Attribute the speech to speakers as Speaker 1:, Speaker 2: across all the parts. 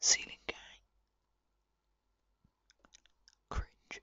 Speaker 1: Ceiling gang. Cringe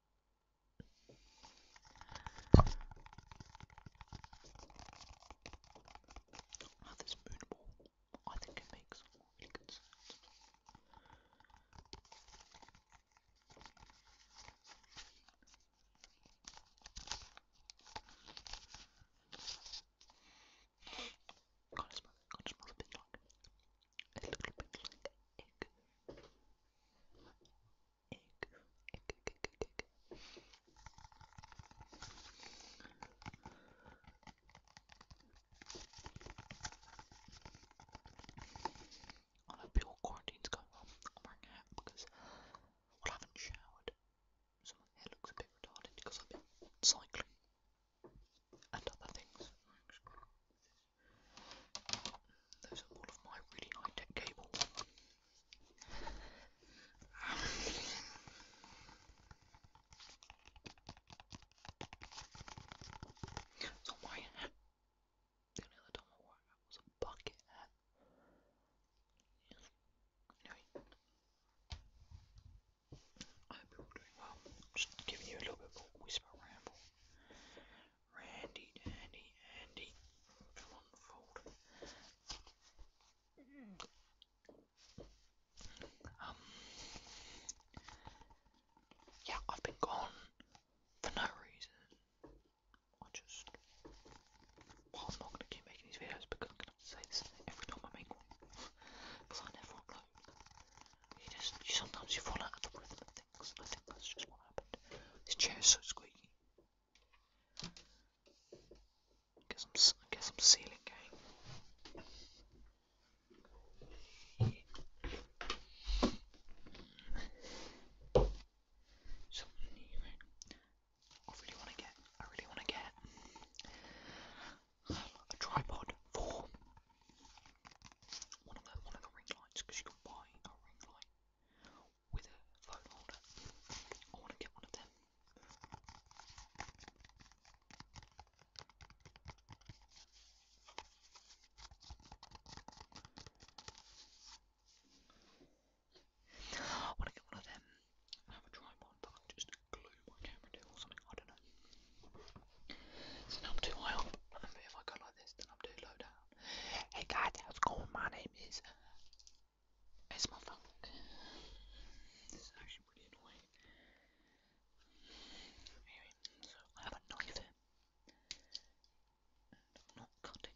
Speaker 1: Now this moonball, I think it makes really good sounds. Can't smell it, can't smell a bit like a little bit like egg. Egg, egg, egg, egg, egg, egg. I hope your quarantine's going well. I'm wearing a hat because well, I haven't showered, so my hair looks a bit retarded because I've been cycling and other things. Those are all of my really high tech cables. so my hat. The only other time I wore
Speaker 2: a was a bucket I hope you're all doing well. just giving you a little bit of a whisper ramble. Randy, Dandy, Andy.
Speaker 3: Um, yeah, I've been gone for no reason.
Speaker 2: I just. Well, I'm not going to keep making these videos because I'm going to have to say this every time I make one. You just. You, sometimes you fall out of the rhythm things. I think that's just what happened. This chair's so squeaky. I guess I'm, ceiling game. I really want to get. I really want to get a tripod for one of the one of the ring lights because you
Speaker 4: can buy a ring light with a phone holder. I want to get one of them. I want to get one of them and have a tripod that I can just glue my camera to or something, I don't know. So now I'm too high up. If I go like this, then I'm too low down. Hey guys, how's it going? My name is. It's This is actually pretty annoying. Anyway, so I have a knife here. not cutting.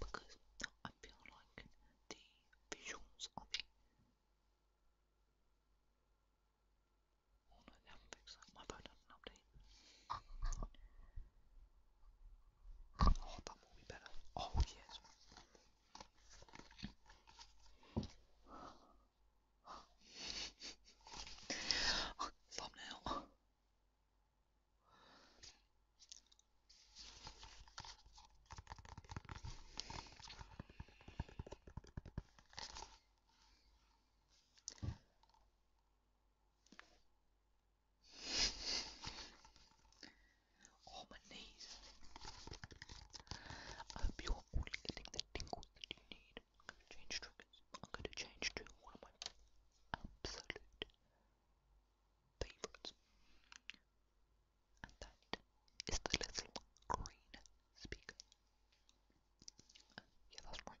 Speaker 4: because I feel like the visuals are the Oh no, they haven't My phone hasn't updated. Oh, that will be better. Oh, yes. Thumbnail. Oh, my knees. I hope you're all getting the tingles that you need. I'm going to change triggers. I'm going to change to one of my absolute favourites. And that is the little green speaker. Uh, yeah, that's right.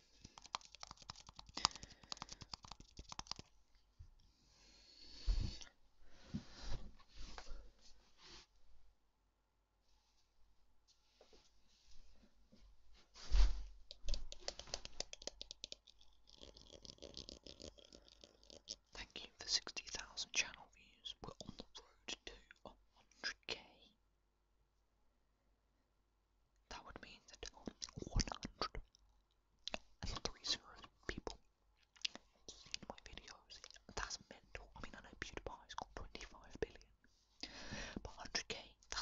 Speaker 5: Thank you for 60,000 channel views. We're on the road to 100k. That would mean that 103 zeros people have my videos. That's mental. I mean, I know PewDiePie's got 25 billion, but 100k,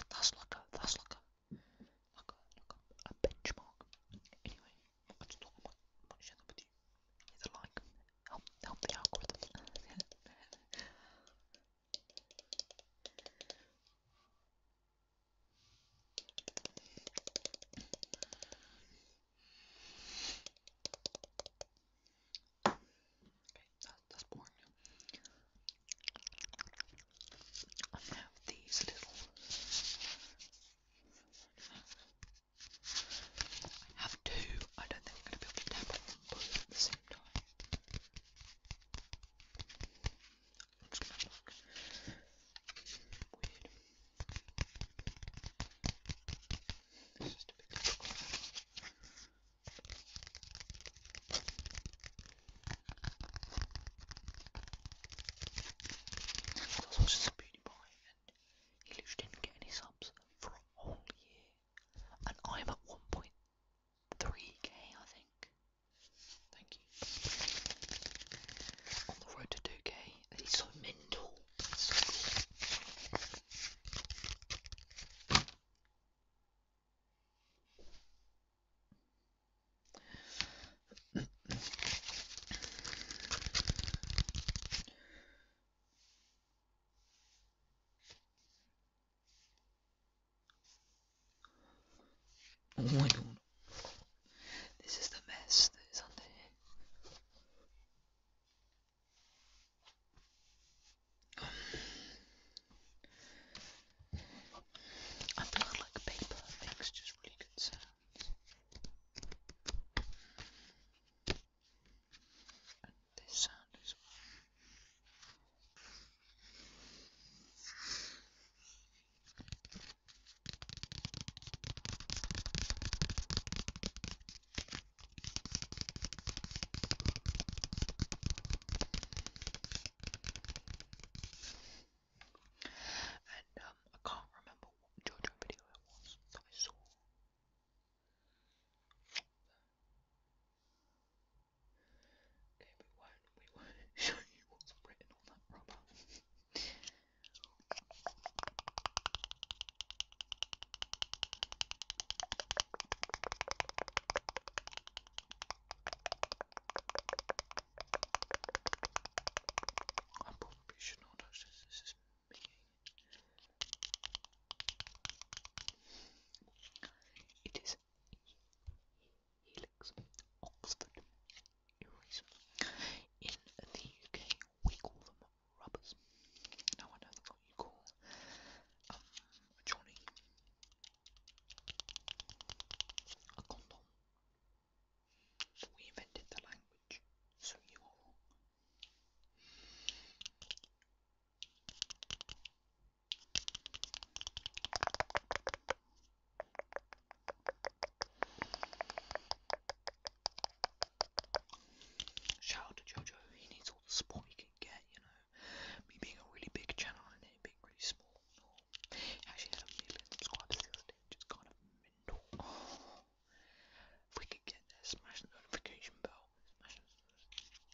Speaker 5: that's like a, that's like a, like a, a, benchmark. Anyway, just thought I might, like, help, help the algorithm. Okay, that, that's boring. I have these little. I have two. I don't think I'm going to be able to tap on them both at the same time. That's gonna look weird. It's just a big circle. I was just a beauty boy and he literally didn't get any subs for a whole year. And I'm at 1.3k, I think. Thank you. On the road to 2K. He's so mental. Oh my god. This is the mess that is under here. Um, I feel like paper makes just really good sounds. this sound as and um, I can't remember what JoJo video it was that I saw. Okay, we won't, we won't show you what's written on that rubber. I probably should not touch this, this is me. It is Helix, Oxford, Eraser. In the UK, we call them rubbers. Now, I know what you call um, a condom. We invented the language, so you are Shout out to Jojo, he needs all the support he can get, you know. Me being a really big channel and it being really small. No. Actually had a million subscribers the kind of mental. If we could get there, smash the notification bell.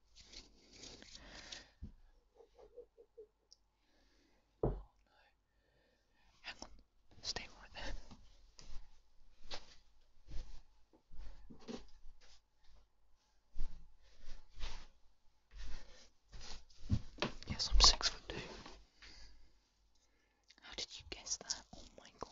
Speaker 5: Oh no. Hang on. Stay right there. Yes, I'm six foot two. How did you guess that? Oh my god.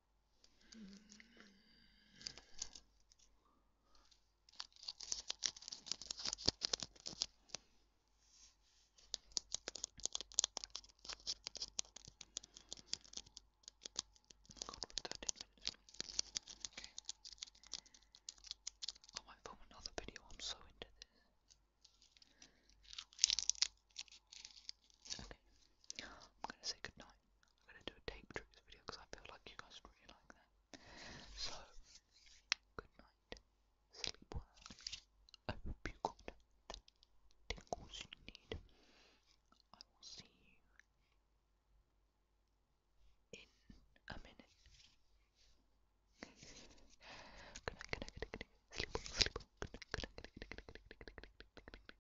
Speaker 5: I might film another video, I'm so into this. Okay, I'm gonna say goodnight. I'm going to do a tape tricks video because I feel like you guys really like that. So, good night, sleep well. I hope you got the tingles you need. I will see you in a minute. Good night, good night, good night, good night. Sleep well, sleep well. Good night, good night, good night, good night, good night, good night, good night, good night,